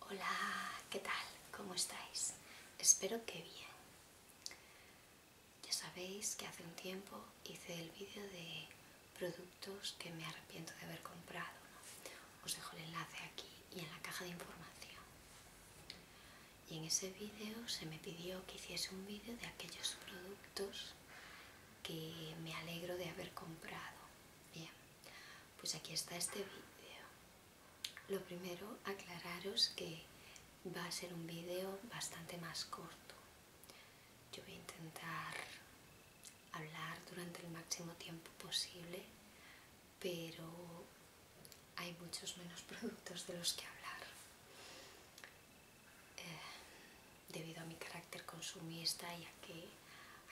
Hola, ¿qué tal? ¿Cómo estáis? Espero que bien. Ya sabéis que hace un tiempo hice el vídeo de productos que me arrepiento de haber comprado. Os dejo el enlace aquí y en la caja de información. Y en ese vídeo se me pidió que hiciese un vídeo de aquellos productos que me alegro de haber comprado. Bien, pues aquí está este vídeo. Lo primero, aclararos que va a ser un vídeo bastante más corto. Yo voy a intentar hablar durante el máximo tiempo posible, pero hay muchos menos productos de los que hablar. Eh, debido a mi carácter consumista y a que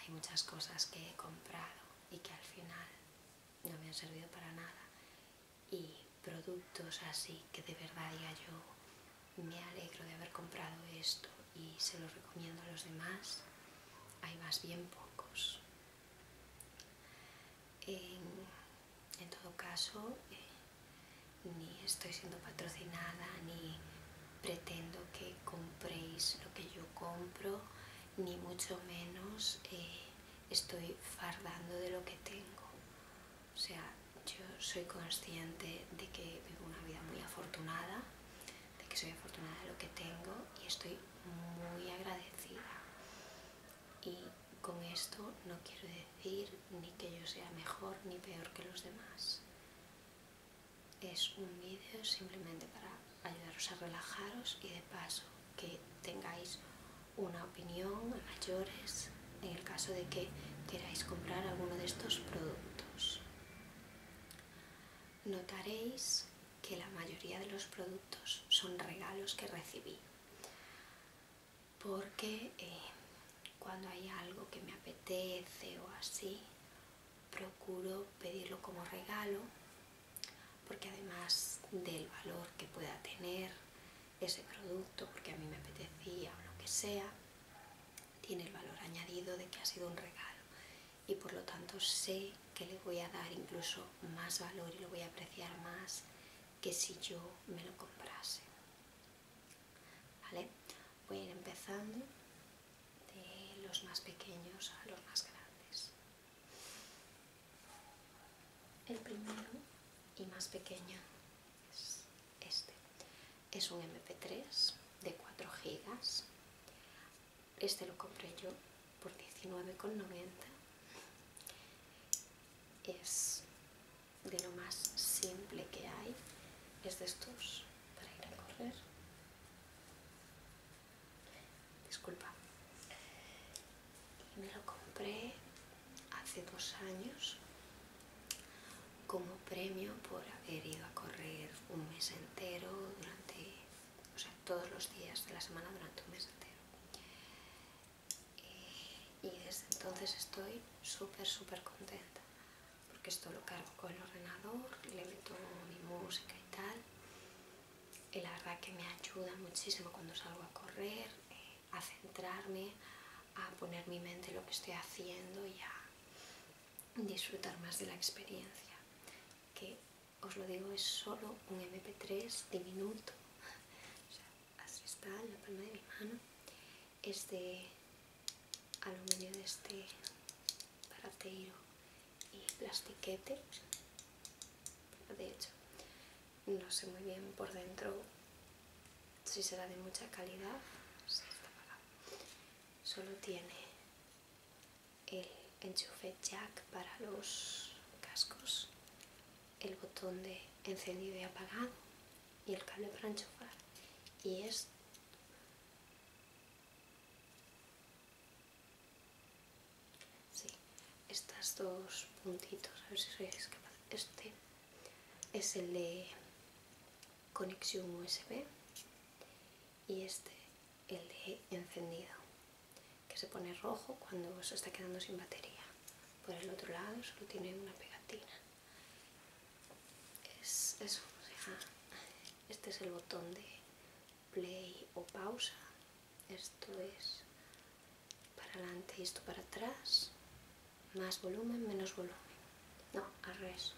hay muchas cosas que he comprado y que al final no me han servido para nada y productos así que de verdad ya yo me alegro de haber comprado esto y se los recomiendo a los demás hay más bien pocos en, todo caso eh, ni estoy siendo patrocinada ni pretendo que compréis lo que yo compro, ni mucho menos eh, estoy fardando de lo que tengo. O sea, yo soy consciente de que vivo una vida muy afortunada, de que soy afortunada de lo que tengo y estoy muy agradecida. Y con esto no quiero decir ni que yo sea mejor ni peor que los demás es un vídeo simplemente para ayudaros a relajaros y de paso que tengáis una opinión mayores en el caso de que queráis comprar alguno de estos productos. Notaréis que la mayoría de los productos son regalos que recibí porque eh, cuando hay algo que me apetece o así procuro pedirlo como regalo porque además del valor que pueda tener ese producto, porque a mí me apetecía o lo que sea, tiene el valor añadido de que ha sido un regalo y por lo tanto sé que le voy a dar incluso más valor y lo voy a apreciar más que si yo me lo comprase. ¿Vale? Voy a ir empezando de los más pequeños a los más grandes. El primero y más pequeño es este. Es un MP3 de 4 gigas. Este lo compré yo por 19,90. Es de lo más simple que hay. Es de estos para ir a correr disculpa me lo compré hace dos años como premio por haber ido a correr un mes entero durante o sea todos los días de la semana durante un mes entero eh, y desde entonces estoy súper súper contenta porque esto lo cargo con el ordenador le meto mi música y tal el la verdad que me ayuda muchísimo cuando salgo a correr, eh, a centrarme, a poner mi mente en lo que estoy haciendo y a disfrutar más de la experiencia. Que os lo digo, es solo un MP3 diminuto. así está en la palma de mi mano. Es de aluminio de este parateiro y plastiquete de hecho no sé muy bien por dentro si será de mucha calidad solo tiene el enchufe jack para los cascos el botón de encendido y apagado y el cable para enchufar y es Sí, estas dos puntitos, a ver si Este es el de conexión USB y este el de encendido, que se pone rojo cuando se está quedando sin batería. Por el otro lado solo tiene una pegatina. Es este es el botón de play o pausa. Esto es para adelante y esto para atrás. Más volumen, menos volumen. No, al revés.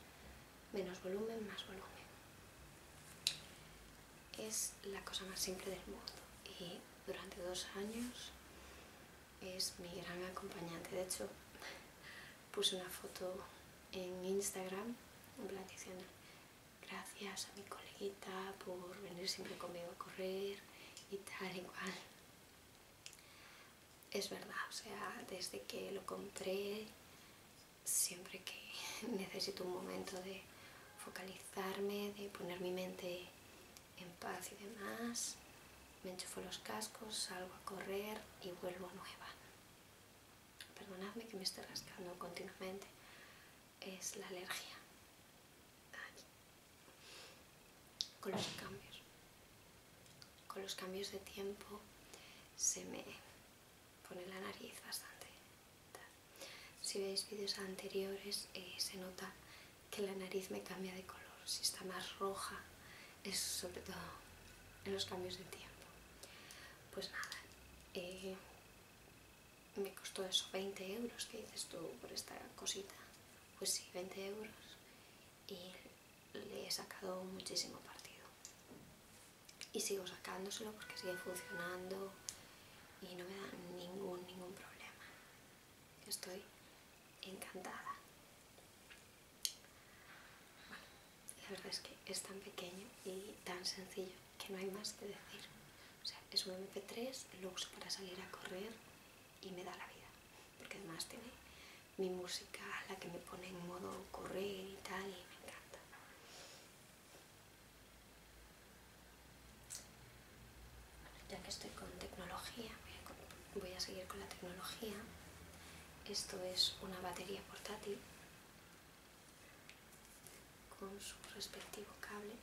Menos volumen, más volumen. Es la cosa más simple del mundo. Y durante dos años es mi gran acompañante. De hecho, puse una foto en Instagram, en plan diciendo, gracias a mi coleguita por venir siempre conmigo a correr y tal igual. Es verdad, o sea, desde que lo compré, siempre que necesito un momento de focalizarme, de poner mi mente en paz y demás, me enchufo los cascos, salgo a correr y vuelvo nueva. Perdonadme que me esté rascando continuamente, es la alergia con los cambios con los cambios de tiempo se me pone la nariz bastante si veis vídeos anteriores eh, se nota que la nariz me cambia de color si está más roja es sobre todo en los cambios de tiempo pues nada eh, me costó eso 20 euros que dices tú por esta cosita pues sí 20 euros y le he sacado muchísimo partido y sigo sacándoselo porque sigue funcionando y no me da ningún ningún problema estoy encantada la verdad es que es tan pequeño y tan sencillo que no hay más que decir. es un MP3, lo uso para salir a correr y me da la vida. Porque además tiene mi música, la que me pone en modo correr y tal, y me encanta. ya que estoy con tecnología, voy a seguir con la tecnología. Esto es una batería portátil con su respectivo cable.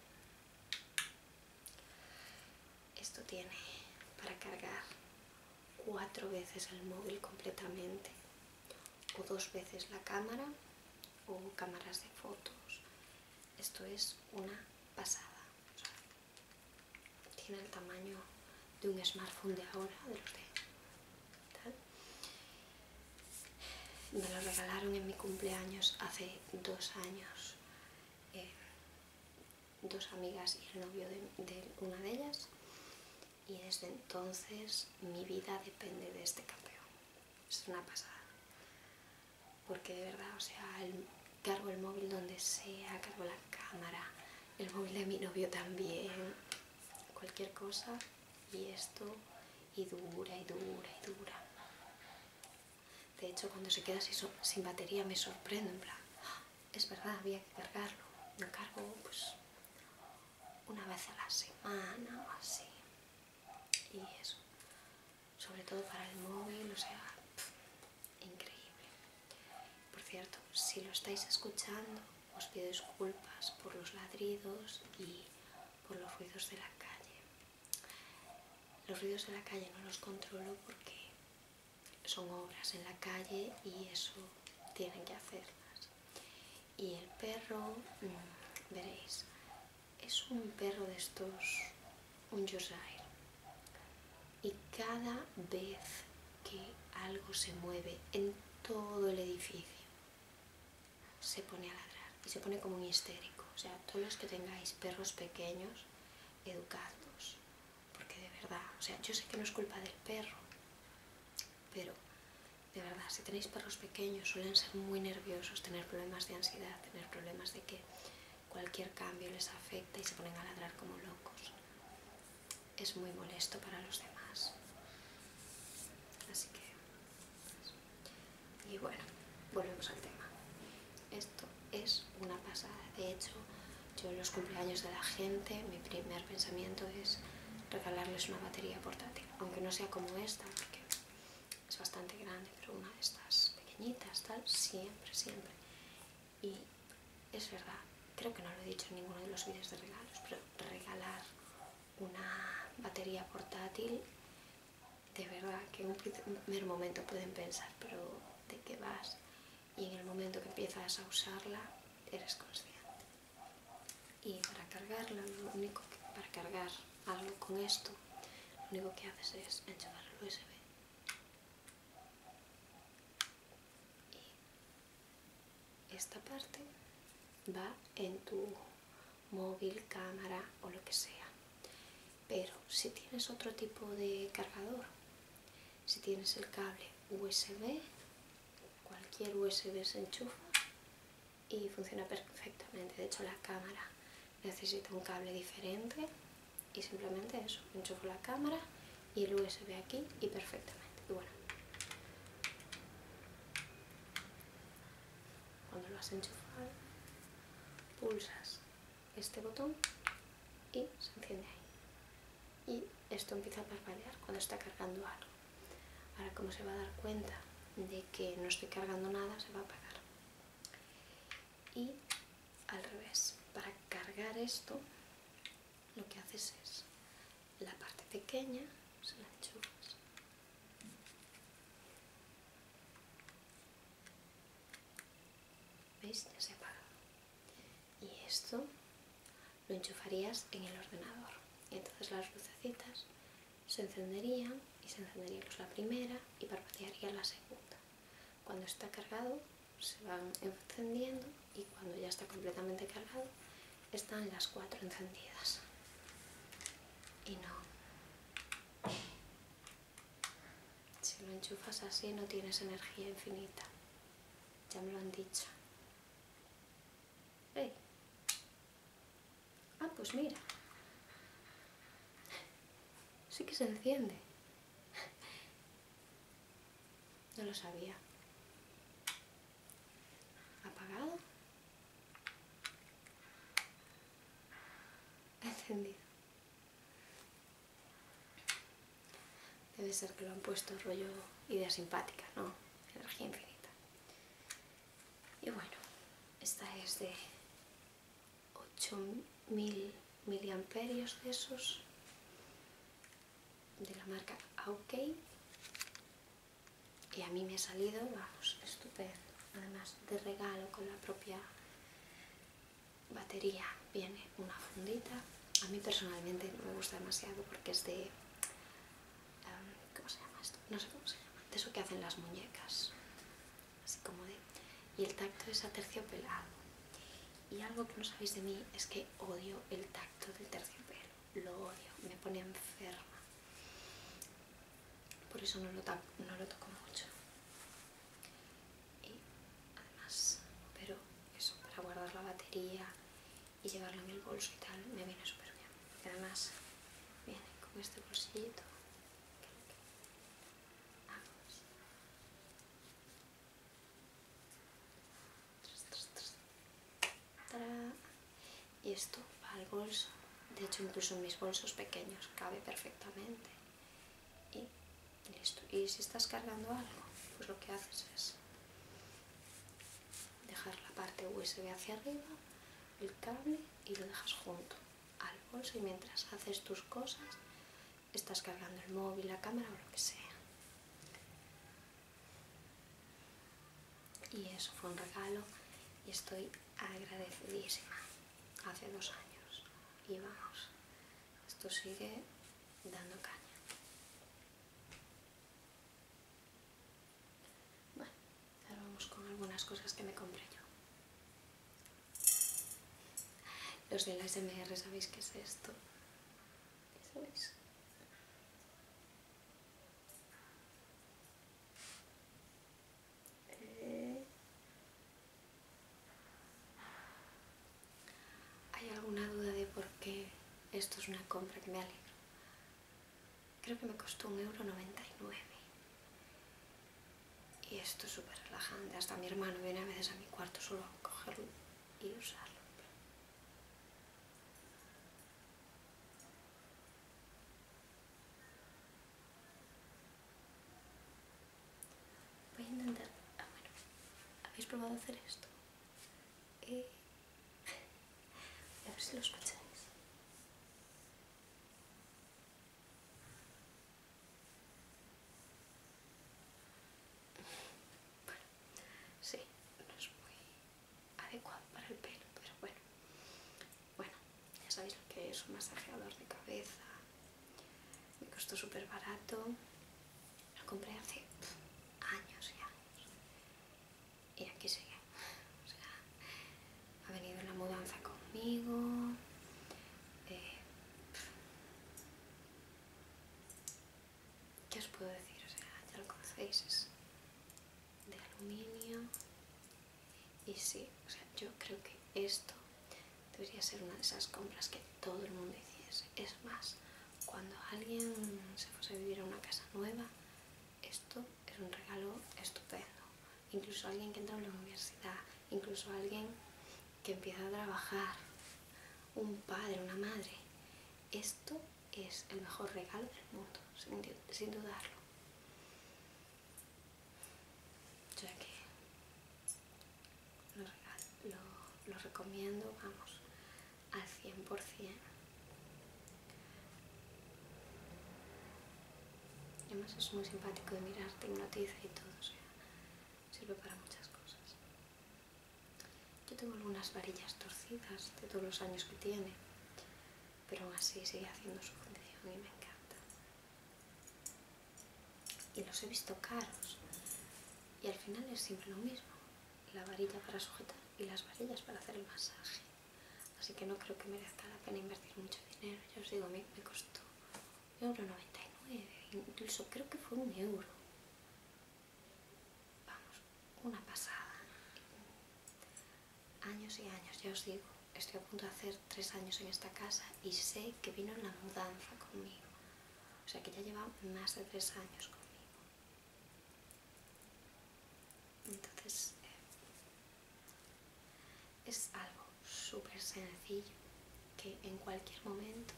Esto tiene para cargar cuatro veces el móvil completamente o dos veces la cámara o cámaras de fotos. Esto es una pasada. tiene el tamaño de un smartphone de ahora, de los de me lo regalaron en mi cumpleaños hace dos años eh, dos amigas y el novio de, una de ellas y desde entonces mi vida depende de este campeón. Es una pasada. Porque de verdad, o sea, cargo el móvil donde sea, cargo la cámara, el móvil de mi novio también, cualquier cosa y esto y dura y dura y dura. De hecho, cuando se queda sin batería me sorprendo, en plan, ah, es verdad, había que cargarlo. Lo cargo pues una vez a la semana o así. Y eso, sobre todo para el móvil, o sea, increíble. Por cierto, si lo estáis escuchando, os pido disculpas por los ladridos y por los ruidos de la calle. Los ruidos de la calle no los controlo porque son obras en la calle y eso tienen que hacerlas. Y el perro, mm, veréis, es un perro de estos, un Yorkshire. Y cada vez que algo se mueve en todo el edificio, se pone a ladrar y se pone como un histérico. O sea, todos los que tengáis perros pequeños, educados Porque de verdad, o sea, yo sé que no es culpa del perro, pero de verdad, si tenéis perros pequeños, suelen ser muy nerviosos, tener problemas de ansiedad, tener problemas de que cualquier cambio les afecta y se ponen a ladrar como locos. Es muy molesto para los demás. Así que... Pues, y bueno, volvemos al tema. Esto es una pasada. De hecho, yo en los cumpleaños de la gente, mi primer pensamiento es regalarles una batería portátil, aunque no sea como esta, porque es bastante grande, pero una de estas pequeñitas, tal, siempre, siempre. Y es verdad, creo que no lo he dicho en ninguno de los vídeos de regalos, pero regalar una batería portátil, de verdad que en un primer momento pueden pensar, pero ¿de qué vas? Y en el momento que empiezas a usarla, eres consciente. Y para cargarla, lo único que, para cargar algo con esto, lo único que haces es enchufar el USB. Y esta parte va en tu móvil, cámara o lo que sea. Pero si tienes otro tipo de cargador, si tienes el cable USB, cualquier USB se enchufa y funciona perfectamente. De hecho, la cámara necesita un cable diferente y simplemente eso, enchufo la cámara y el USB aquí y perfectamente. bueno, cuando lo has enchufado, pulsas este botón y se enciende ahí. Y esto empieza a parpadear cuando está cargando algo. Ahora como se va a dar cuenta de que no estoy cargando nada, se va a apagar. Y al revés, para cargar esto, lo que haces es la parte pequeña se la enchufas ¿Veis? Ya se apagado Y esto lo enchufarías en el ordenador. Y entonces las lucecitas se encenderían y se encendería pues la primera y parpadearía la segunda. Cuando está cargado se van encendiendo y cuando ya está completamente cargado están las cuatro encendidas. Y no, si lo enchufas así no tienes energía infinita. Ya me lo han dicho. Hey. Ah, pues mira. Sí que se enciende. No lo sabía. ¿Apagado? Encendido. Debe ser que lo han puesto rollo idea simpática, ¿no? Energía infinita. Y bueno, esta es de 8000 miliamperios de esos de la marca Aukey y a mí me ha salido, vamos, estupendo. Además de regalo con la propia batería viene una fundita. A mí personalmente no me gusta demasiado porque es de... ¿Cómo se llama esto? No sé cómo se llama. De eso que hacen las muñecas. Así como de... Y el tacto es aterciopelado. Y algo que no sabéis de mí es que odio el tacto del terciopelo. Lo odio. Me pone enferma por eso no lo, no lo toco mucho y además pero eso para guardar la batería y llevarlo en el bolso y tal me viene súper bien y además viene con este bolsillito y esto va al bolso de hecho incluso en mis bolsos pequeños cabe perfectamente y listo y si estás cargando algo pues lo que haces es dejar la parte USB hacia arriba el cable y lo dejas junto al bolso y mientras haces tus cosas estás cargando el móvil, la cámara o lo que sea y eso fue un regalo y estoy agradecidísima hace dos años y vamos, esto sigue dando caña. Bueno, ahora vamos con algunas cosas que me compré yo. Los la SMR, ¿sabéis qué es esto? Eh. ¿Hay alguna duda de por qué esto es una compra que me alegro? Creo que me costó un euro y Y esto es súper relajante. Hasta mi hermano viene a veces a mi cuarto solo a cogerlo y usarlo. Voy a intentar... Ah, bueno. ¿Habéis probado hacer esto? Eh... A ver si lo escucháis. Bueno, sí, no es muy adecuado para el pelo, pero bueno. Bueno, ya sabéis lo que es un masajeador de cabeza. Me costó súper barato. Lo compré hace años y años. Y aquí sigue. O sea, ha venido la mudanza conmigo. Eh, ¿Qué os puedo decir? O sea, ya lo conocéis. Es de aluminio. Y sí, o sea, yo creo que esto debería ser una de esas compras que todo el mundo hiciese. Es más, cuando alguien se fuese a vivir a una casa nueva, esto es un regalo estupendo. Incluso alguien que entra a la universidad, incluso alguien que empieza a trabajar, un padre, una madre. Esto es el mejor regalo del mundo, sin dudarlo ya que lo, recomiendo, vamos, al 100%. Y además es muy simpático de mirar, te hipnotiza y todo, o sea, sirve para muchas cosas. Yo tengo algunas varillas torcidas de todos los años que tiene, pero aún así sigue haciendo su función y me encanta y los he visto caros y al final es siempre lo mismo la varilla para sujetar y las varillas para hacer el masaje así que no creo que merezca la pena invertir mucho dinero yo os digo, a mí me costó 1,99€, incluso creo que fue un euro vamos, una pasada años y años, ya os digo, estoy a punto de hacer tres años en esta casa y sé que vino en la mudanza conmigo. O sea que ya lleva más de tres años conmigo. Entonces, eh, es algo súper sencillo que en cualquier momento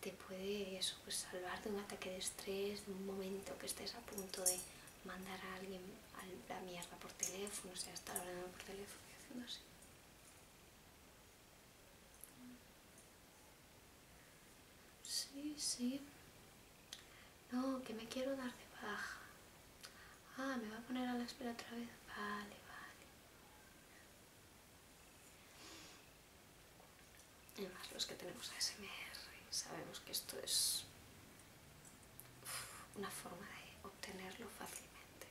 te puede pues, salvar de un ataque de estrés, de un momento que estés a punto de mandar a alguien a la mierda por teléfono, o sea, estar hablando por teléfono y haciendo así. Sí, sí. No, que me quiero dar de baja. Ah, me va a poner a la espera otra vez. Vale, vale. Además, los que tenemos ASMR sabemos que esto es una forma de obtenerlo fácilmente.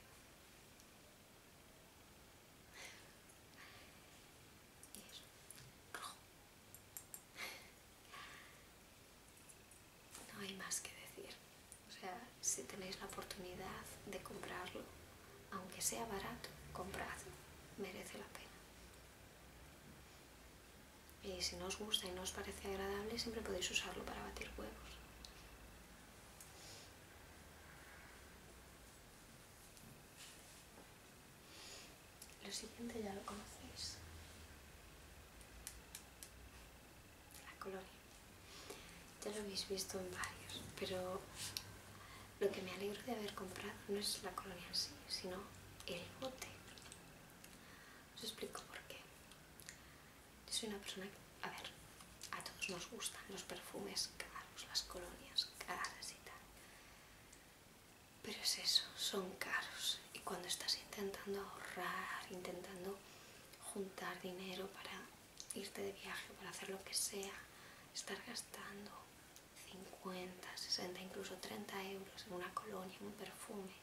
No hay más que decir. O sea, si tenéis la oportunidad de comprarlo, aunque sea barato, compradlo. merece la pena. Y si no os gusta y no os parece agradable, siempre podéis usarlo para batir huevos. Lo siguiente ya lo conocéis. La colonia. Ya lo habéis visto en varios, pero lo que me alegro de haber comprado no es la colonia en sí, sino el bote. Os explico por qué. Yo soy una persona que, a ver, a todos nos gustan los perfumes caros, las colonias caras y tal. Pero es eso, son caros. Y cuando estás intentando ahorrar, intentando juntar dinero para irte de viaje, para hacer lo que sea, estar gastando 50, 60, incluso 30 euros en una colonia, en un perfume,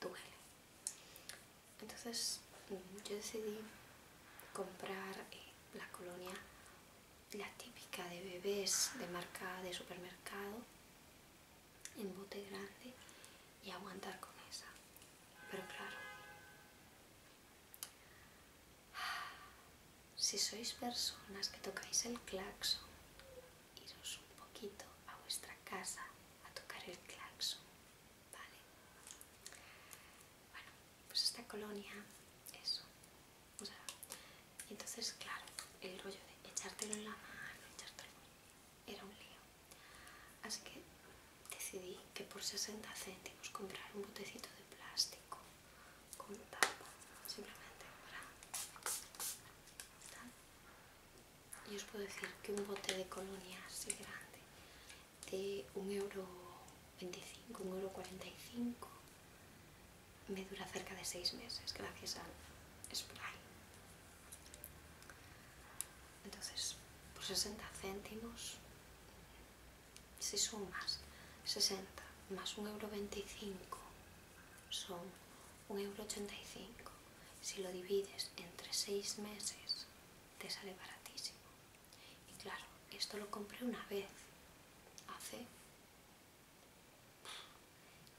duele entonces mm, yo decidí comprar eh, la colonia la típica de bebés de marca de supermercado en bote grande y aguantar con esa pero claro si sois personas que tocáis el claxon iros un poquito a vuestra casa a tocar el claxon Vale. Bueno, pues esta colonia, eso. O sea, entonces, claro, el rollo de echártelo en la mano, echártelo, era un lío. Así que decidí que por 60 céntimos comprar un botecito de plástico con tapa, simplemente para y os puedo decir que un bote de colonia así grande de 1,25€, 1,45€ me dura cerca de 6 meses gracias al spray. Entonces, por 60 céntimos, si sumas 60 más 1,25€ son 1,85€. Si lo divides entre 6 meses, te sale baratísimo. Y claro, esto lo compré una vez, hace...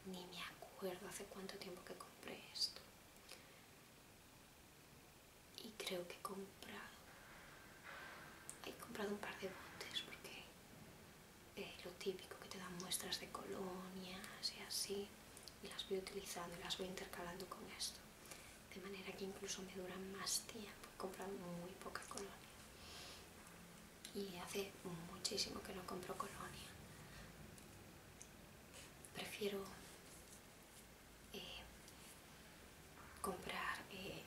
ni me acuerdo hace cuánto tiempo que compré esto. Y creo que he comprado... He comprado un par de botes porque eh, lo típico que te dan muestras de colonias y así y las voy utilizando, y las voy intercalando con esto. De manera que incluso me duran más tiempo, comprando muy poca colonia. Y hace muchísimo que no compro colonia. Prefiero eh, comprar eh,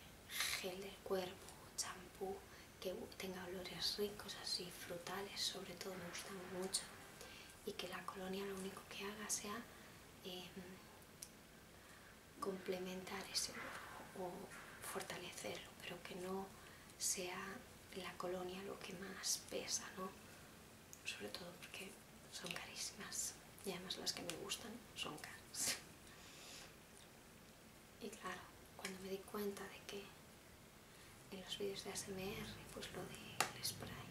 gel del cuerpo, champú, que tenga olores ricos, así frutales, sobre todo me gustan mucho y que la colonia lo único que haga sea eh, complementar ese o fortalecerlo, pero que no sea la colonia lo que más pesa, ¿no? Sobre todo porque son carísimas y además las que me gustan son caras. Y claro, cuando me di cuenta de que en los vídeos de ASMR pues lo del spray.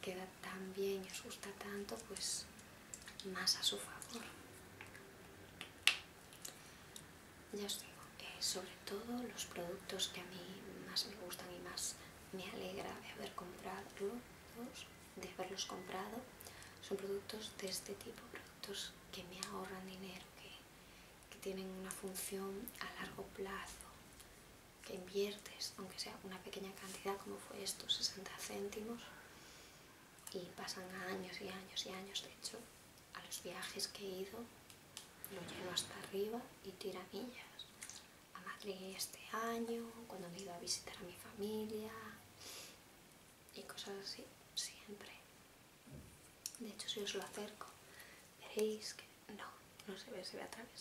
Queda tan bien y os gusta tanto, pues más a su favor. Ya os digo, eh, sobre todo los productos que a mí más me gustan y más me alegra de haber comprado, de haberlos comprado, son productos de este tipo, que me ahorran dinero, que, tienen una función a largo plazo, que inviertes, aunque sea una pequeña cantidad como fue esto, 60 céntimos, y pasan años y años y años, de hecho, a los viajes que he ido, lo llevo hasta arriba y tiramillas. A Madrid este año, cuando me he ido a visitar a mi familia y cosas así, siempre. De hecho, si os lo acerco, veréis que no, no se ve, se ve a través.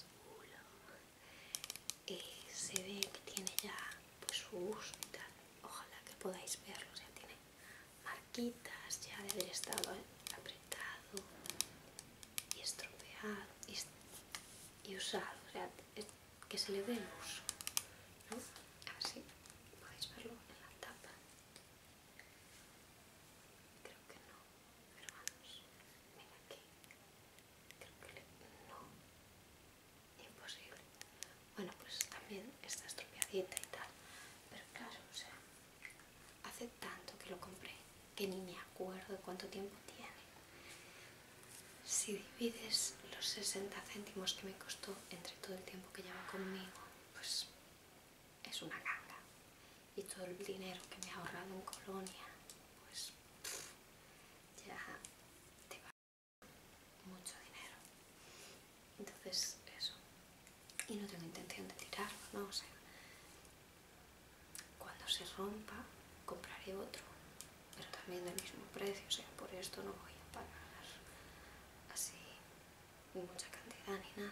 Y eh, se ve que tiene ya pues, su uso Ojalá que podáis verlo, o sea, tiene marquitas ya de haber estado eh, apretado y estropeado y, usado, o sea, que se le dé el uso. ¿no? Así podéis verlo en la tapa. Creo que no, hermanos vamos, aquí. Creo que no. Imposible. Bueno, pues también está estropeadita y tal. Pero claro, o sea, hace tanto que lo compré que ni me acuerdo cuánto tiempo tiene. Si divides los 60 céntimos que me costó entre todo el tiempo que lleva conmigo pues es una ganga. Y todo el dinero que me ha ahorrado en Colonia, pues ya te va mucho dinero. Entonces, eso. Y no tengo intención de tirarlo, ¿no? sé cuando se rompa, compraré otro, pero también del mismo precio. O sea, por esto no voy a pagar así mucha cantidad ni nada.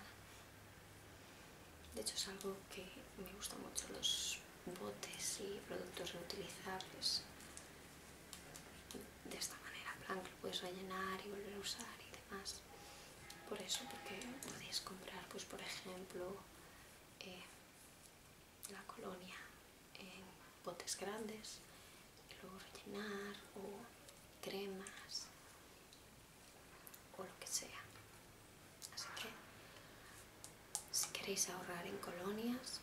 De hecho es algo que me gusta mucho, los botes y productos reutilizables. De esta manera, plan lo puedes rellenar y volver a usar y demás. Por eso, porque podéis comprar, pues por ejemplo, eh, la colonia en botes grandes luego rellenar o cremas o lo que sea así que si queréis ahorrar en colonias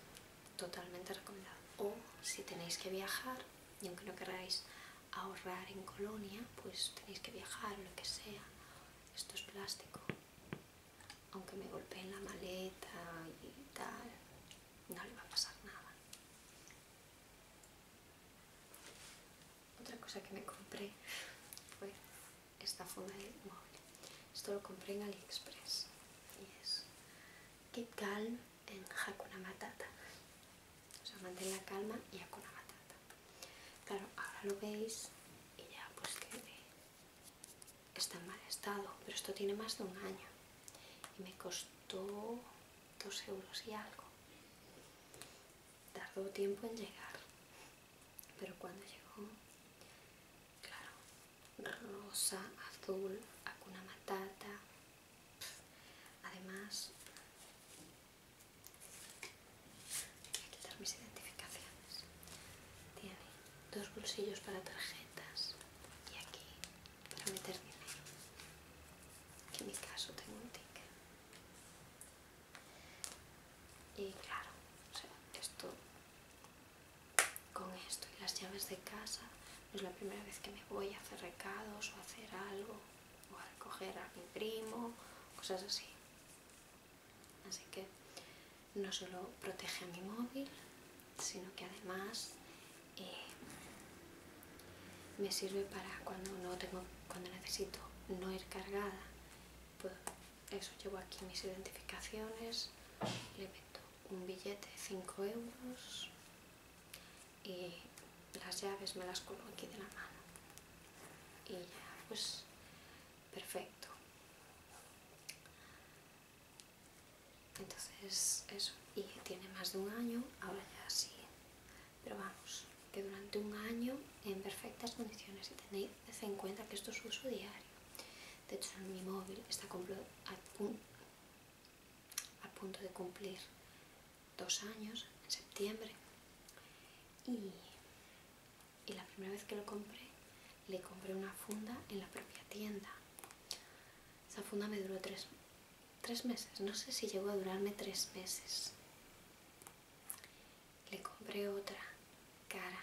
totalmente recomendado o si tenéis que viajar y aunque no queráis ahorrar en colonia pues tenéis que viajar o lo que sea esto es plástico aunque me golpeen la maleta y tal no le va a pasar nada otra cosa que me compré fue esta funda de móvil, Esto lo compré en AliExpress y es Keep Calm en Hakuna Matata. O sea, mantén la calma y Hakuna Matata. Claro, ahora lo veis y ya pues que está en mal estado, pero esto tiene más de un año y me costó dos euros y algo. Tardó tiempo en llegar, pero cuando llegó, claro, rosa, azul, acuna matata. Además, voy a quitar mis identificaciones. Tiene dos bolsillos para tarjetas y aquí para meter dinero. Que en mi caso tengo un ticket. Y claro, o sea, esto con esto y las llaves de casa no es la primera vez que me voy a hacer recados o hacer algo o a recoger a mi primo, cosas así. Así que no solo protege a mi móvil, sino que además y eh, me sirve para cuando no tengo cuando necesito no ir cargada pues eso llevo aquí mis identificaciones le meto un billete de 5 euros y las llaves me las coloco aquí de la mano y ya pues perfecto entonces eso y tiene más de un año ahora ya sí pero vamos, que durante un año en perfectas condiciones y tenéis en cuenta que esto es uso diario. De hecho, mi móvil está a punto de cumplir dos años en septiembre y la primera vez que lo compré le compré una funda en la propia tienda esa funda me duró tres, meses. No sé si llegó a durarme tres meses. Le compré otra cara.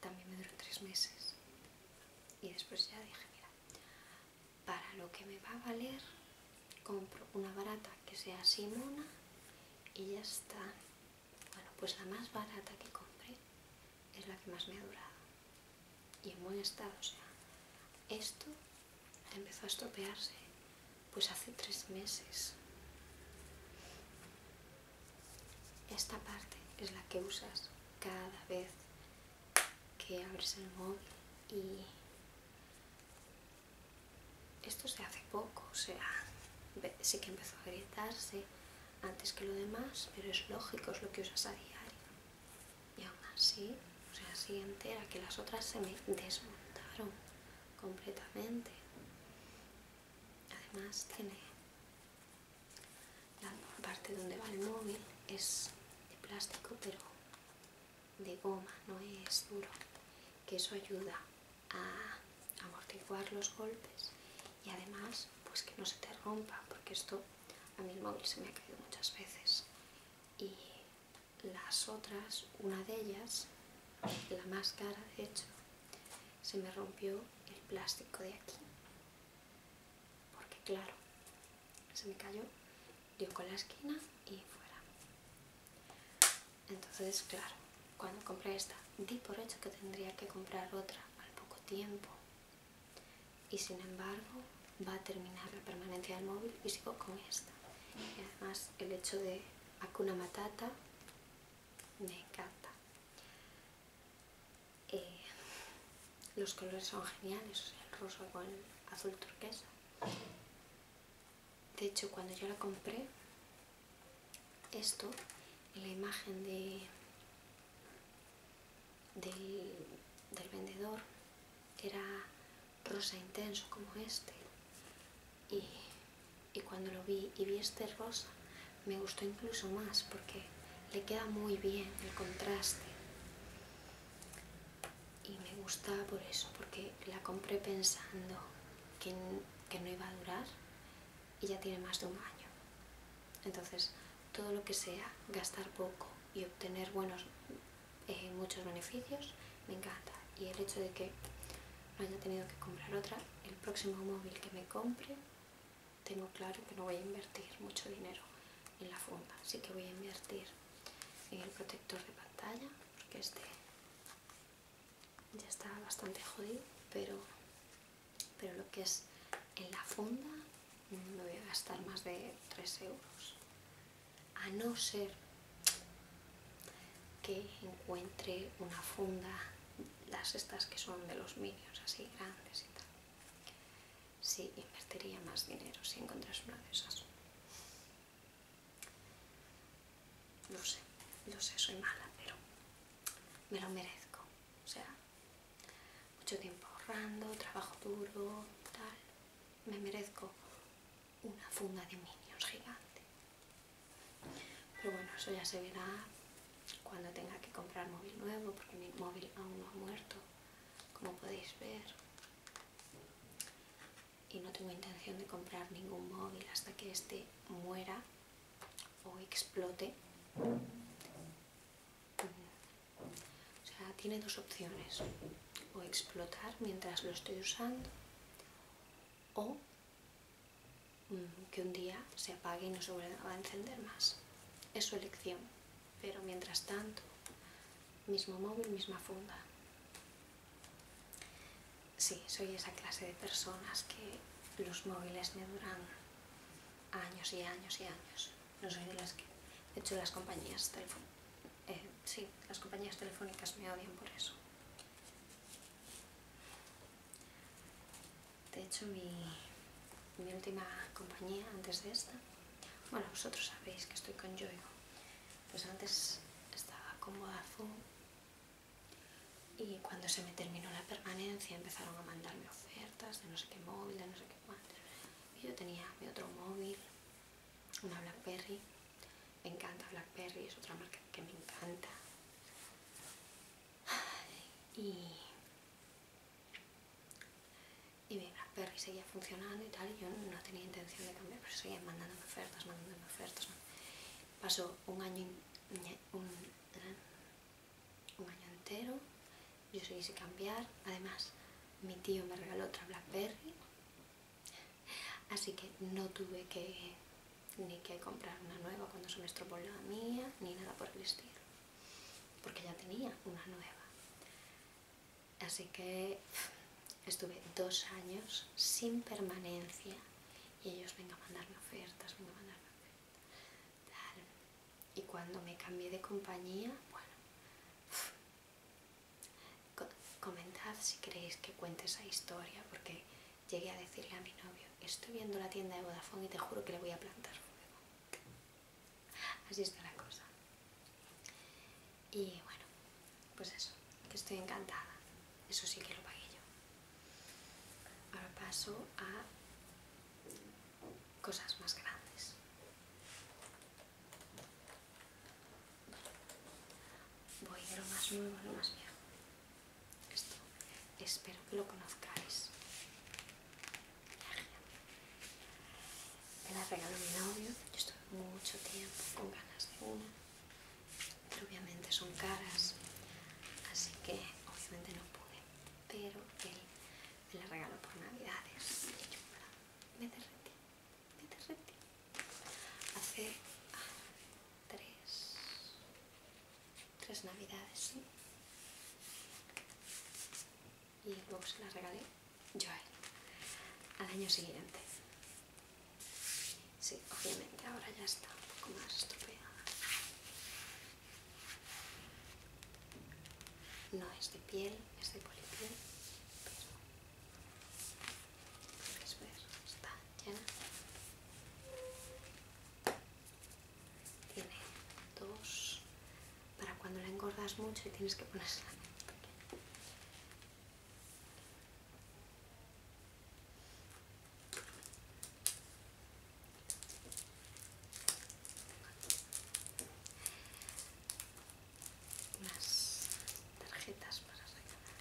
También me duró tres meses. Y después ya dije, mira, para lo que me va a valer, compro una barata que sea una y ya está. Bueno, pues la más barata que compré es la que más me ha durado y en buen estado. O sea, esto empezó a estropearse pues hace tres meses. Esta parte es la que usas cada vez que abres el móvil y esto se hace poco, o sea, sí que empezó a agrietarse antes que lo demás, pero es lógico, es lo que usas a diario y aún así, o sea, así entera, que las otras se me desmontaron completamente. Además tiene la parte donde va el móvil, es de plástico pero de goma, no es duro, que eso ayuda a amortiguar los golpes y además pues que no se te rompa porque esto a mi el móvil se me ha caído muchas veces y las otras, una de ellas, la máscara cara de hecho, se me rompió el plástico de aquí. Porque claro, se me cayó, dio con la esquina y fuera. Entonces, claro, cuando compré esta, di por hecho que tendría que comprar otra al poco tiempo y sin embargo va a terminar la permanencia del móvil físico con esta. Y además el hecho de Hakuna Matata me encanta. Eh, los colores son geniales, el rosa con el azul turquesa. De hecho, cuando yo la compré, esto, la imagen de, del vendedor, era rosa intenso como este y, cuando lo vi y vi este rosa me gustó incluso más porque le queda muy bien el contraste y me gustaba por eso porque la compré pensando que no iba a durar y ya tiene más de un año entonces todo lo que sea gastar poco y obtener buenos eh, muchos beneficios, me encanta. Y el hecho de que no haya tenido que comprar otra, el próximo móvil que me compre, tengo claro que no voy a invertir mucho dinero en la funda, así que voy a invertir en el protector de pantalla, porque este ya está bastante jodido, pero, pero lo que es en la funda me voy a gastar más de 3 euros a no ser que encuentre una funda, las estas que son de los míos así grandes y tal. Sí, invertiría más dinero si encontras una de esas. No sé, no sé, soy mala, pero me lo merezco. O sea, mucho tiempo ahorrando, trabajo duro, tal me merezco una funda de minions gigante. Pero bueno, eso ya se verá cuando tenga que comprar móvil nuevo, porque mi móvil aún no ha muerto, como podéis ver. Y no tengo intención de comprar ningún móvil hasta que este muera o explote. O sea, tiene dos opciones. O explotar mientras lo estoy usando o mm, que un día se apague y no se vuelva a encender más. Es su elección. Pero mientras tanto, mismo móvil, misma funda. Sí, soy esa clase de personas que los móviles me duran años y años y años. No soy de las que... he hecho, las compañías teléfono. Eh, sí, las compañías telefónicas me odian por eso. De hecho, mi, última compañía, antes de esta, bueno, vosotros sabéis que estoy con Yoigo. Pues antes estaba con Vodafone y cuando se me terminó la permanencia empezaron a mandarme ofertas de no sé qué móvil, de no sé qué cuánto. Y yo tenía mi otro móvil una Blackberry, me encanta Blackberry, es otra marca que me encanta. Y, y mi Blackberry seguía funcionando y tal, yo no tenía intención de cambiar, pero seguía mandándome ofertas, mandándome ofertas. Pasó un año, un, un año entero, yo seguí cambiar, además mi tío me regaló otra Blackberry Así que no tuve que ni que comprar una nueva cuando se me estropeó la mía, ni nada por el estilo, porque ya tenía una nueva. Así que estuve dos años sin permanencia y ellos vengan a mandarme ofertas, venga a mandarme ofertas, Y cuando me cambié de compañía, bueno, Comentad si queréis que cuente esa historia, porque llegué a decirle a mi novio, estoy viendo la tienda de Vodafone y te juro que le voy a plantar nuevo. Así está la cosa. Y bueno, pues eso, que estoy encantada. Eso sí que lo pagué yo. Ahora paso a cosas más grandes. Voy a lo más nuevo a lo más viejo. Esto espero que lo conozcáis. Me la regaló mi novio, yo estuve mucho tiempo con ganas de una, pero obviamente son caras, así que obviamente no pude, pero él me la regaló por navidades me derretí hace ah, tres tres navidades y luego se la regalé yo a él al año siguiente sí, obviamente ahora ya está un poco más estropeada. no es de piel, es de polipiel, pero tiene dos para cuando la engordas mucho y tienes que ponerla unas tarjetas para regalar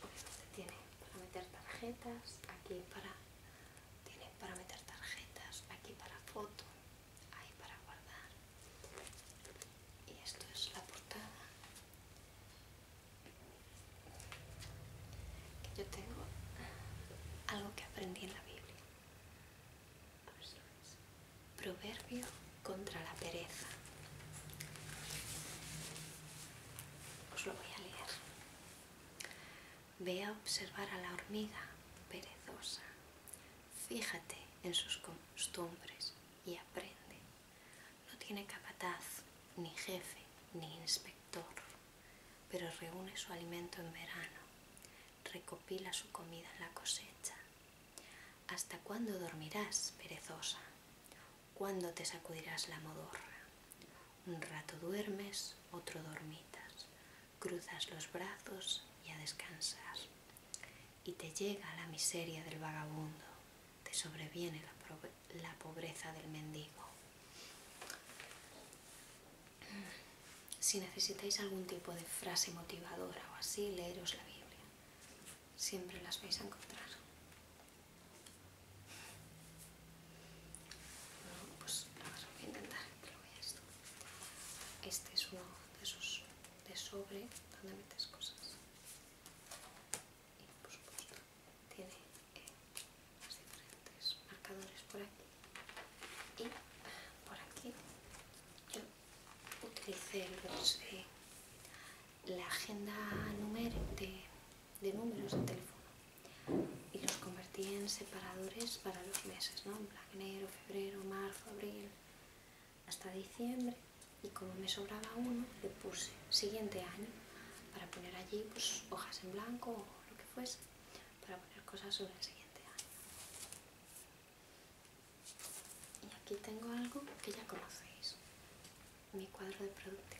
porque tiene para meter tarjetas aquí para tiene para meter tarjetas aquí para foto ahí para guardar y esto es la portada que yo tengo algo que aprendí en la Biblia Proverbio contra la pereza. Os lo voy a leer. Ve a observar a la hormiga perezosa. Fíjate en sus costumbres y aprende. No tiene capataz, ni jefe, ni inspector, pero reúne su alimento en verano recopila su comida en la cosecha. ¿Hasta cuándo dormirás, perezosa? ¿Cuándo te sacudirás la modorra? Un rato duermes, otro dormitas, cruzas los brazos y a descansar. Y te llega la miseria del vagabundo, te sobreviene la, la pobreza del mendigo. Si necesitáis algún tipo de frase motivadora o así, leeros la Biblia. Siempre las vais a encontrar. No, pues nada, a intentar Este es uno de esos de sobre donde metes cosas. Y por supuesto, tiene eh, los diferentes marcadores por aquí. Y por aquí utilicé la agenda de, de números de teléfono y los convertí en separadores para los meses, ¿no? En enero, febrero, marzo, abril, hasta diciembre. Y como me sobraba uno, le puse siguiente año para poner allí pues, hojas en blanco o lo que fuese, para poner cosas sobre el siguiente año. Y aquí tengo algo que ya conocéis, mi cuadro de productividad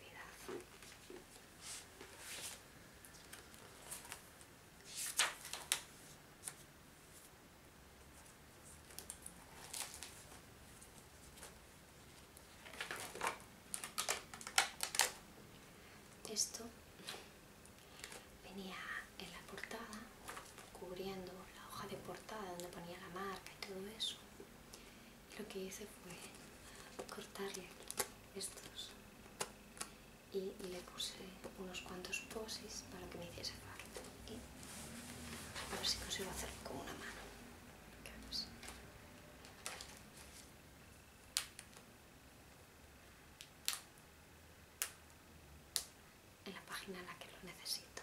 venía en la portada cubriendo la hoja de portada donde ponía la marca y todo eso lo que hice fue cortarle estos y le puse unos cuantos posis para que me hiciese falta y a ver si consigo hacerlo con una mano en la página en la que lo necesito.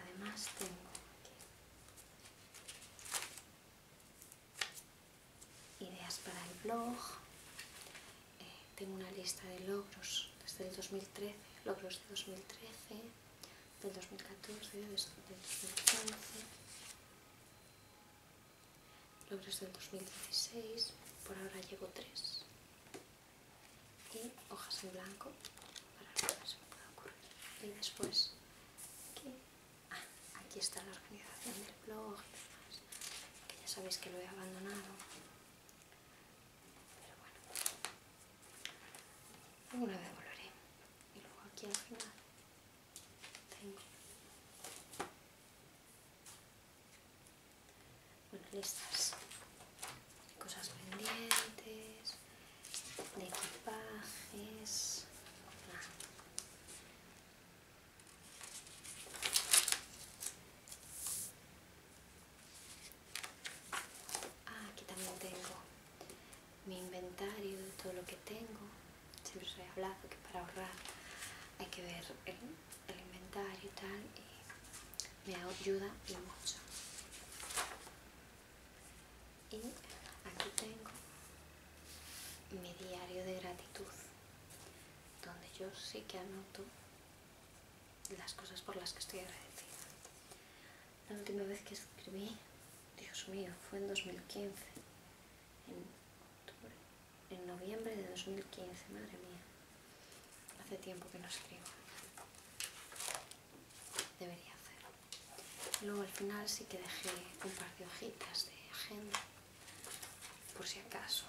Además tengo ideas para el blog, eh, tengo una lista de logros desde el 2013, logros de 2013, del 2014, del 2015 logros del 2016, por ahora llevo tres y hojas en blanco para si me pueda ocurrir. Y después, aquí, ah, aquí está la organización del blog y demás, que ya sabéis que lo he abandonado. Pero bueno, alguna vez volveré. Y luego aquí al final tengo bueno, listas. Cosas pendientes, de equipajes. Ah. aquí también tengo mi inventario de todo lo que tengo. Siempre os he hablado que para ahorrar hay que ver el inventario y tal y me ayuda mucho y aquí tengo mi diario de gratitud donde yo sí que anoto las cosas por las que estoy agradecida la última vez que escribí Dios mío fue en 2015 en octubre en noviembre de 2015, madre mía. Hace tiempo que no escribo. Debería hacerlo. Luego al final sí que dejé un par de hojitas de agenda, por si acaso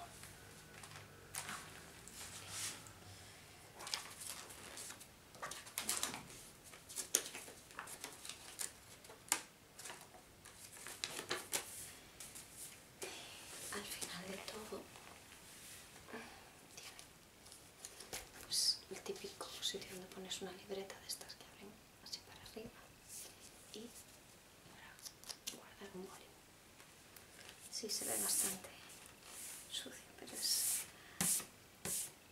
al final de todo tiene pues, el típico sitio donde pones una libreta de estas que abren así para arriba y para guardar un boli. Sí, se ve bastante sucio, pero es,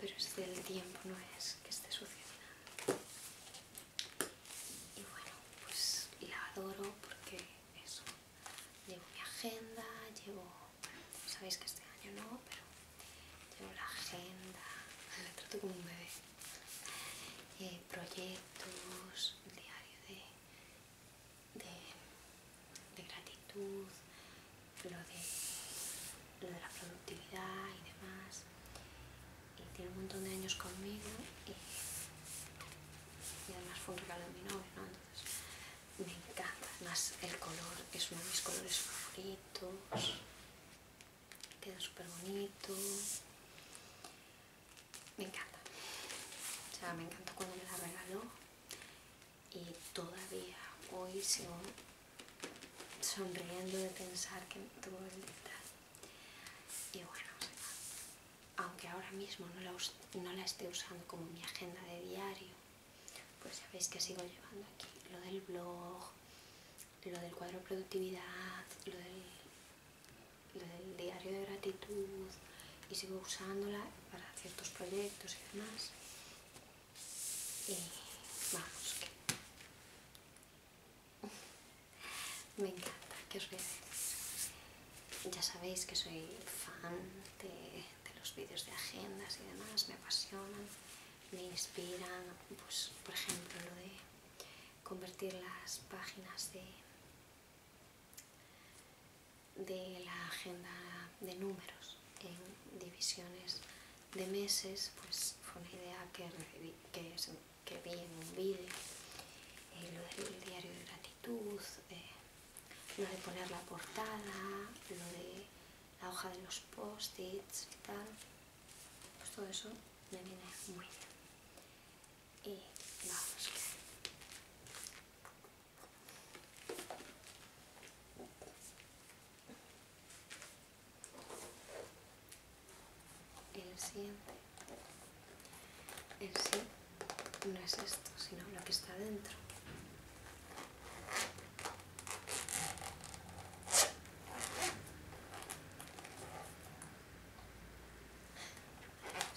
pero es del tiempo, no es que esté sucio ni nada. Y bueno, pues la adoro porque es llevo mi agenda, llevo, sabéis que este año no, pero llevo la agenda, la trato como un bebé, eh, proyectos, diario de, gratitud, lo de, lo de la productividad y demás, y tiene un montón de años conmigo y y además fue un regalo de mi novio, ¿no? Entonces me encanta, además el color es uno de mis colores favoritos, queda súper bonito, me encanta, o sea, me encantó cuando me la regaló y todavía hoy sigo sonriendo de pensar que tuvo el detalle y bueno, aunque ahora mismo no la, esté usando como mi agenda de diario, pues sabéis que sigo llevando aquí lo del blog, lo del cuadro de productividad, lo del, diario de gratitud y sigo usándola para ciertos proyectos y demás. vamos, que me encanta, que os voy ya sabéis que soy fan de, los vídeos de agendas y demás, me apasionan, me inspiran, pues, por ejemplo lo de convertir las páginas de, la agenda de números en divisiones de meses, pues fue una idea que, vi en un vídeo, eh, lo diario de eh, lo de poner la portada, lo de la hoja de los post-its y tal, pues todo eso me viene muy bien. Y vamos. El siguiente. En sí no es esto, sino lo que está dentro.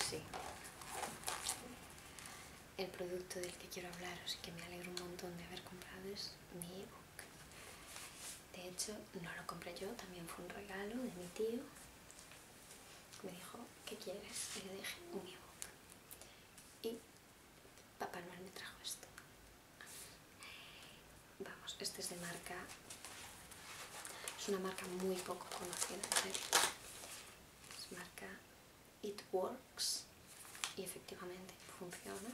Sí. El producto del que quiero hablaros y que me alegro un montón de haber comprado es mi ebook. De hecho, no lo compré yo, también fue un regalo de mi tío me dijo, ¿qué quieres? Y le dije, un ebook. Y Papá Noel me trajo esto. Vamos, este es de marca, es una marca muy poco conocida, Es marca It Works y efectivamente funciona.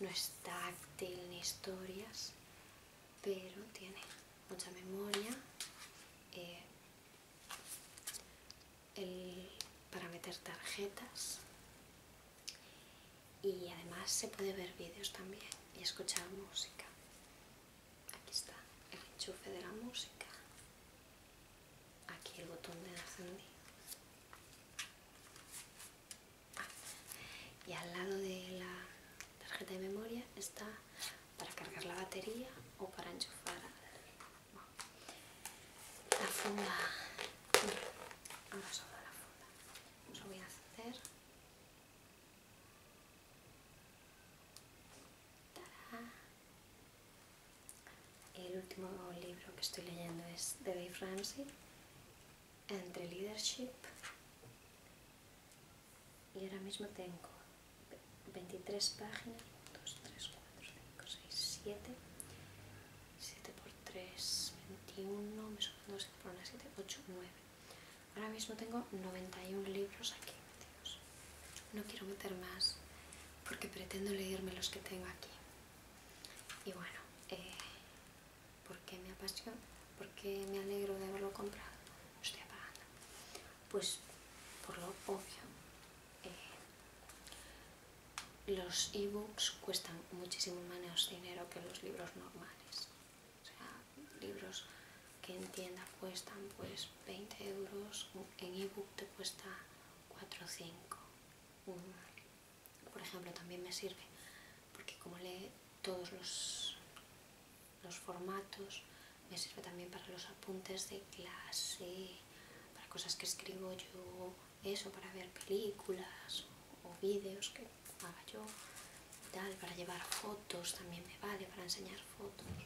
No es táctil ni historias, pero tiene mucha memoria, eh, para meter tarjetas y además se puede ver vídeos también y escuchar música aquí está el enchufe de la música aquí el botón de encendido ah, y al lado de la tarjeta de memoria está para cargar la batería o para enchufar la funda a solo la funda ¿No lo voy a hacer el último libro que estoy leyendo es de Dave Ramsey entre leadership y ahora mismo tengo 23 páginas 2, 3, 4, 5, 6, 7 7 por 3, 21 me 7 por una, 7, 8, 9 ahora mismo tengo 91 libros aquí metidos no quiero meter más porque pretendo leerme los que tengo aquí y bueno eh, porque me apasiona porque me alegro de haberlo comprado lo estoy apagando pues por lo obvio los eh, los ebooks cuestan muchísimo menos dinero que los libros normales o sea libros que en tienda cuestan pues 20 euros en ebook te cuesta 4 o 5 por ejemplo también me sirve porque como lee todos los formatos me sirve también para los apuntes de clase, para cosas que escribo yo, eso, para ver películas o, vídeos que haga yo, tal, para llevar fotos también me vale, para enseñar fotos.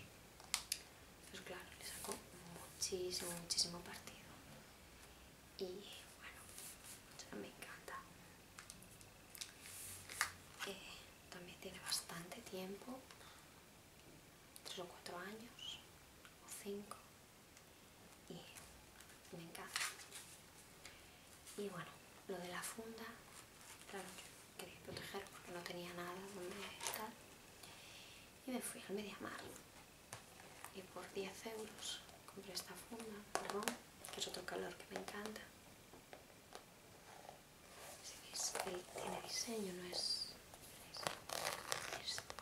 Pues claro, le saco muchísimo, muchísimo partido. Y bueno, me encanta. Eh, también tiene bastante tiempo tres o cuatro años o cinco y me encanta y bueno lo de la funda claro yo quería proteger porque no tenía nada donde estar y me fui al Mediamar y por 10 euros compré esta funda, perdón, que es otro calor que me encanta si veis que tiene diseño, no es,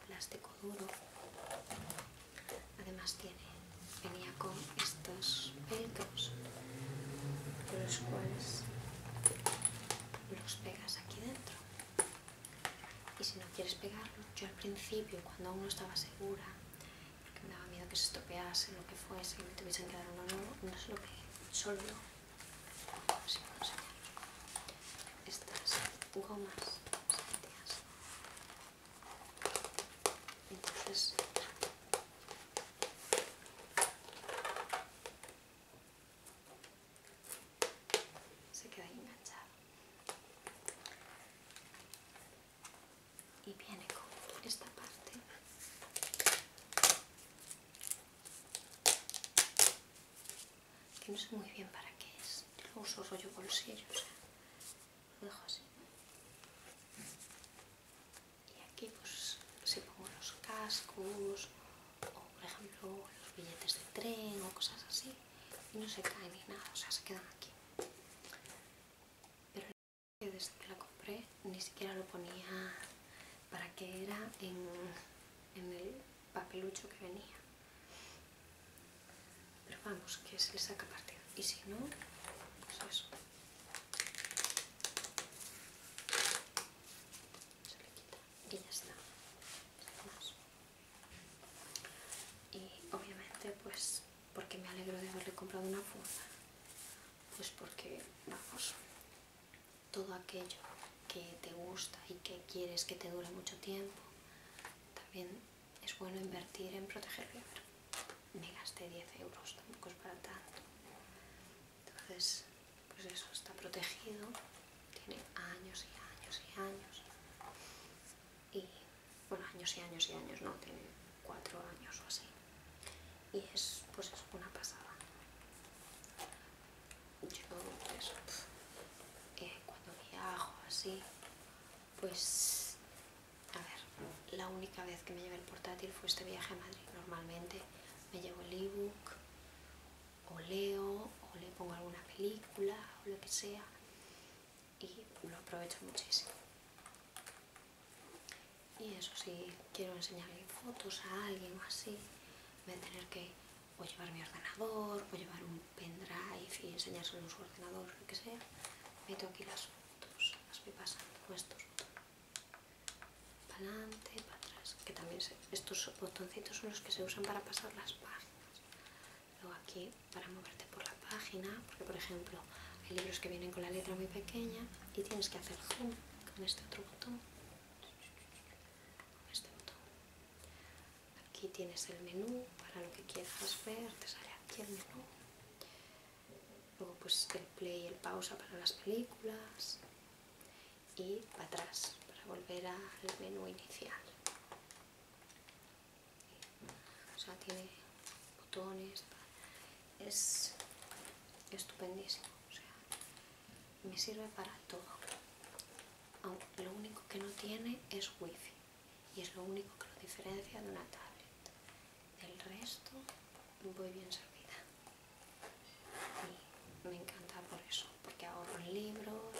plástico duro. Además tiene, venía con estos peltos, los cuales los pegas aquí dentro. Y si no quieres pegarlo, yo al principio, cuando aún no estaba segura, porque me daba miedo que se estropease, lo que fuese, y me tuviesen que dar uno nuevo, no es lo que solo estas gomas Entonces, se queda enganchado. Y viene con esta parte que no sé muy bien para qué es. lo uso rollo bolsillo, o sea, lo dejo así. Y aquí pues se pongo los cascos o por ejemplo los billetes de tren o cosas así y no se caen ni nada, o sea, se quedan aquí. Pero desde que la compré ni siquiera lo ponía para que era en, en el papelucho que venía. Pero vamos, que se le saca partido. Y si no, pues eso. Se le quita y ya está. Y obviamente, pues, porque me alegro de haberle comprado una funda. Pues porque, vamos, todo aquello que te gusta y que quieres que te dure mucho tiempo, también es bueno invertir en protegerlo. Me gasté 10 euros, tampoco es para tanto. Entonces, pues eso está protegido, tiene años y años y años. Y, bueno, años y años y años, no, tiene cuatro años o así. Y es, pues es una pasada yo eh, pues cuando viajo así, pues a ver, la única vez que me llevé el portátil fue este viaje a Madrid. Normalmente me llevo el ebook o leo o le pongo alguna película o lo que sea y lo aprovecho muchísimo. Y eso, si quiero enseñarle fotos a alguien o así, voy a tener que a llevar mi ordenador, a llevar un pendrive y enseñárselo en su ordenador, lo que sea, meto aquí las fotos, las voy pasando con estos para adelante, para atrás, que también estos botoncitos son los que se usan para pasar las páginas, luego aquí para moverte por la página, porque por ejemplo hay libros que vienen con la letra muy pequeña y tienes que hacer zoom con este otro botón este botón. Aquí tienes el menú para lo que quieras ver, te sale aquí el menú. Luego pues el play y el pausa para las películas y para atrás para volver al menú inicial. O sea, tiene botones, es estupendísimo. O sea, me sirve para todo. lo único que no tiene es wifi y es lo único que lo diferencia de una tablet. Del resto muy bien servida. me encanta por eso, porque ahorro en libros,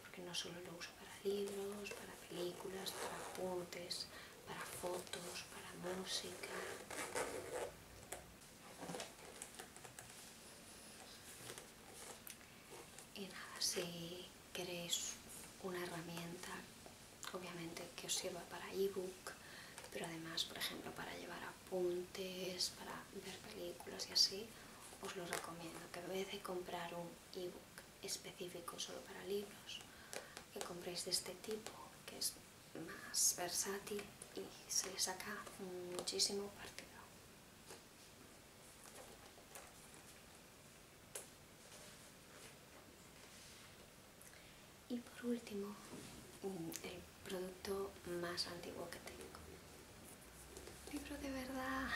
porque no solo lo uso para libros, para películas, para apuntes, para fotos, para música. Y nada, si queréis una herramienta, obviamente que os sirva para ebook, pero además, por ejemplo, para llevar apuntes, para ver películas y así, os lo recomiendo. Que en vez de comprar un e-book específico solo para libros, que compréis de este tipo, que es más versátil y se le saca muchísimo partido. Y por último, mm, el producto más antiguo que tengo. Libro de verdad.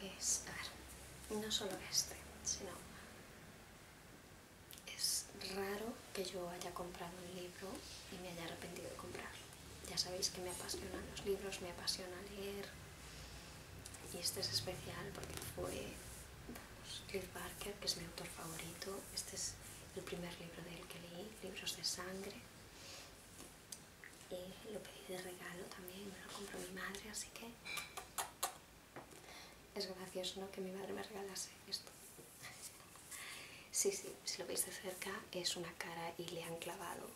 Pues, a ver, no solo este, sino es raro que yo haya comprado un libro y me haya arrepentido de comprarlo. Ya sabéis que me apasionan los libros, me apasiona leer. Y este es especial porque fue vamos, Cliff Barker, que es mi autor favorito. Este es el primer libro de él que leí, Libros de Sangre. Y lo pedí de regalo también, me lo compró mi madre, así que es gracioso ¿no? que mi madre me regalase esto. Sí, sí, si lo veis de cerca es una cara y le han clavado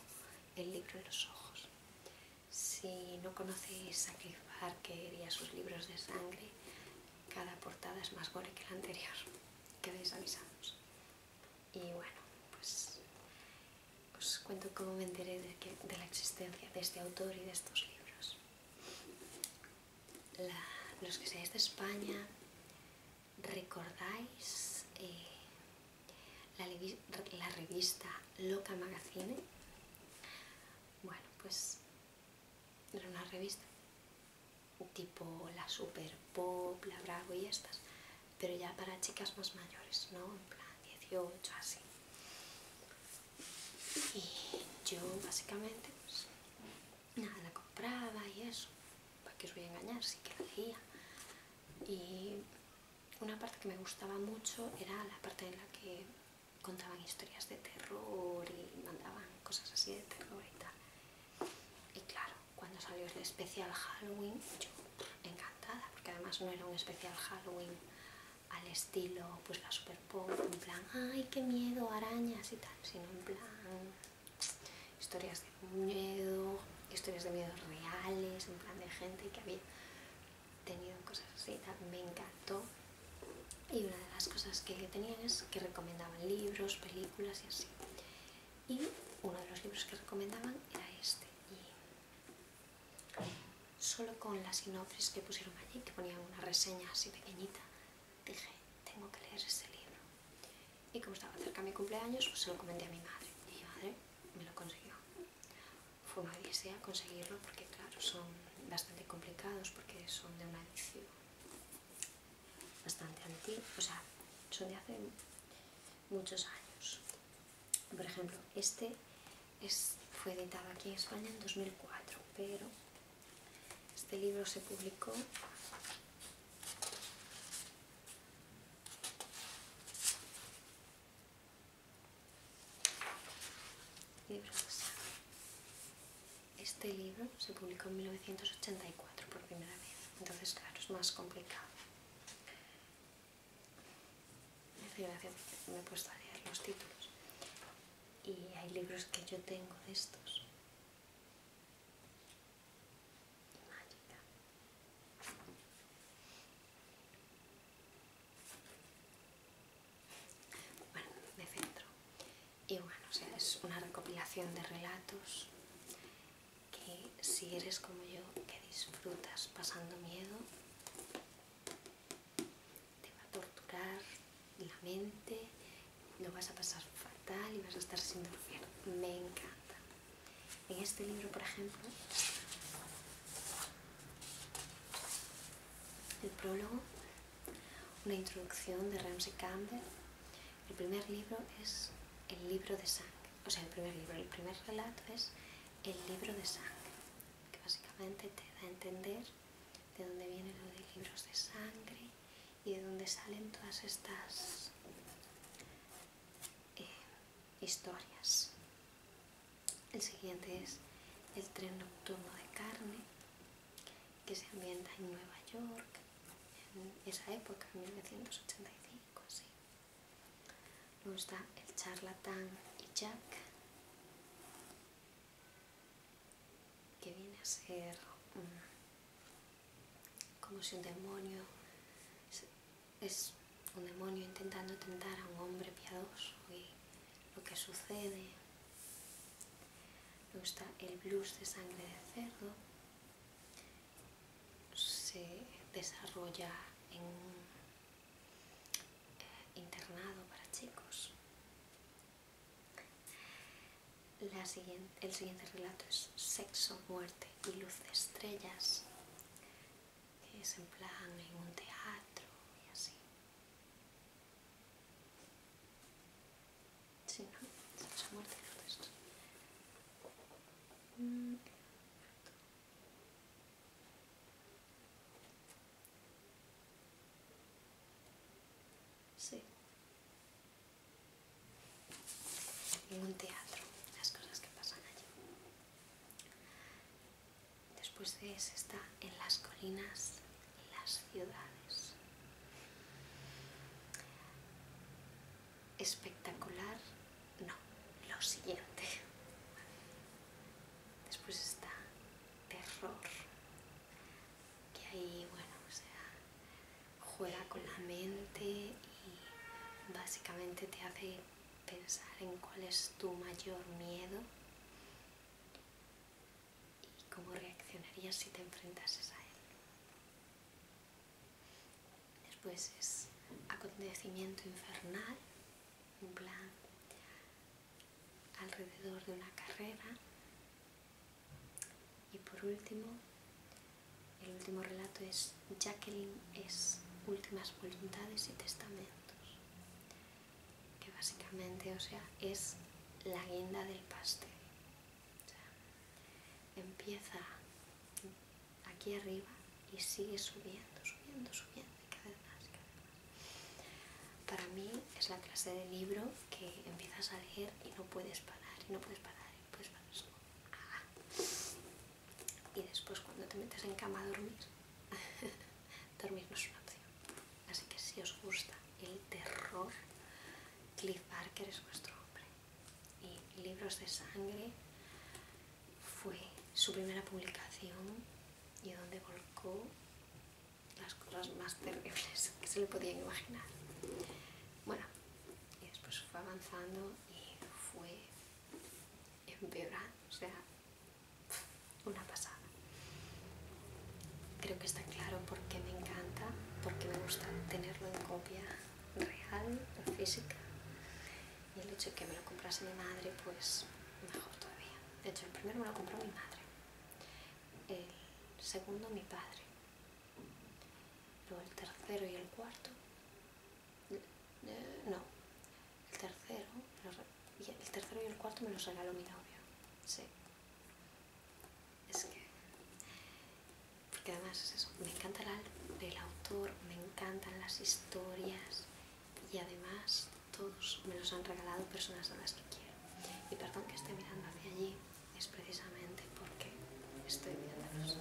el libro en los ojos. Si no conocéis a Cliff Barker que a sus libros de sangre, cada portada es más gore que la anterior. Quedéis avisados. Y bueno, pues os cuento cómo me enteré de, la existencia de este autor y de estos libros. los que seáis de España recordáis eh, la, la revista Loca Magazine. Bueno, pues era una revista tipo la Super Pop, la Bravo y estas, pero ya para chicas más mayores, ¿no? En plan 18, así. Y yo básicamente pues, nada, la compraba y eso, para que os voy a engañar, sí que la hacía Y una parte que me gustaba mucho era la parte en la que contaban historias de terror y mandaban cosas así de terror y tal. Y claro, cuando salió el especial Halloween, yo encantada, porque además no era un especial Halloween al estilo, pues la superpop, en plan, ay, qué miedo, arañas y tal, sino en plan, historias de miedo, historias de miedos reales, en plan de gente que había tenido cosas así, me encantó. Y una de las cosas que tenían es que recomendaban libros, películas y así. Y uno de los libros que recomendaban era este. Y solo con las sinopsis que pusieron allí, que ponían una reseña así pequeñita, dije, tengo que leer ese libro. Y como estaba cerca mi cumpleaños, pues se lo comenté a mi madre. Y mi madre me lo consiguió. Fue una odisea conseguirlo porque, claro, son bastante complicados porque son de una edición bastante antigua. O sea, son de hace muchos años. Por ejemplo, este es, fue editado aquí en España en 2004, pero este libro se publicó Libro Este libro se publicó en 1984 por primera vez, entonces claro, es más complicado. me he puesto a leer los títulos y hay libros que yo tengo de estos mágica. Bueno, me centro. Y bueno, sea, es una recopilación de relatos que si eres como yo, que disfrutas pasando miedo, te va a torturar la mente, lo vas a pasar fatal y vas a estar sin dormir. Me encanta. En este libro, por ejemplo, el prólogo, una introducción de Ramsey Campbell, el primer libro es el libro de sangre, o sea, el primer libro, el primer relato es el libro de sangre, que básicamente te da a entender de dónde vienen los libros de sangre y de donde salen todas estas eh, historias. El siguiente es El tren nocturno de carne, que se ambienta en Nueva York, en esa época, en 1985, Luego está El charlatán y Jack, que viene a ser... Mm, como si un demonio es un demonio intentando tentar a un hombre piadoso y lo que sucede. no está el blues de sangre de cerdo. Se desarrolla en un eh, internado para chicos. La siguiente, el siguiente relato es Sexo, Muerte y Luz de Estrellas, que es en plan en un teatro y así. Sí, ¿no? Sexo, Muerte y Estrellas. Mm, sí, un teatro, las cosas que pasan allí. Después de eso está en las colinas las ciudades. Espectacular, no, lo siguiente. Después está terror, que ahí, bueno, o sea, juega con la mente y básicamente te hace pensar en cuál es tu mayor miedo y cómo reaccionarías si te enfrentases a él. Después es acontecimiento infernal, un plan alrededor de una carrera y por último, el último relato es Jacqueline es Últimas Voluntades y Testamentos, que básicamente, o sea, es la guinda del pastel. O sea, empieza aquí arriba y sigue subiendo, subiendo, subiendo y cada vez más, cada vez más. Para mí es la clase de libro que empiezas a leer y no puedes parar, y no puedes parar, y no puedes parar. Y después cuando te metes en cama a dormir, dormir no es una opción. Así que si os gusta el terror, Cliff Barker es vuestro hombre. Y Libros de Sangre fue su primera publicación y donde volcó las cosas más terribles que se le podían imaginar. Bueno, y después fue avanzando y fue empeorando, o sea, una pasada. Creo que está claro por qué me encanta, porque me gusta tenerlo en copia real, física, y el hecho de que me lo comprase mi madre, pues mejor todavía. De hecho, el primero me lo compró mi madre, el segundo mi padre, luego el tercero y el cuarto eh, no, el tercero, el tercero y el cuarto me los regaló mi novio, sí. Es que, porque además es eso, me encanta el, autor, me encantan las historias y además todos me los han regalado personas a las que quiero. Y perdón que esté mirando hacia allí, es precisamente porque estoy viéndolos.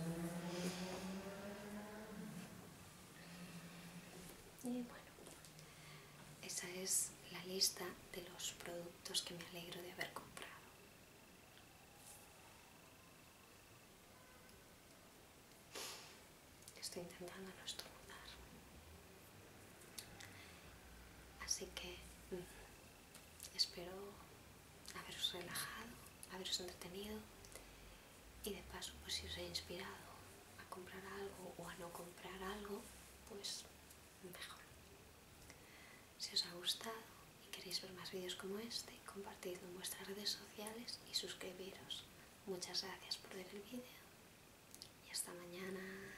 Y bueno, esa es la lista de los productos que me alegro de haber comprado. Estoy intentando no estornudar. Así que mm, espero haberos relajado, haberos entretenido y de paso pues si os he inspirado a comprar algo o a no comprar algo, pues mejor. Si os ha gustado y queréis ver más vídeos como este, compartidlo en vuestras redes sociales y suscribiros. Muchas gracias por ver el vídeo y hasta mañana.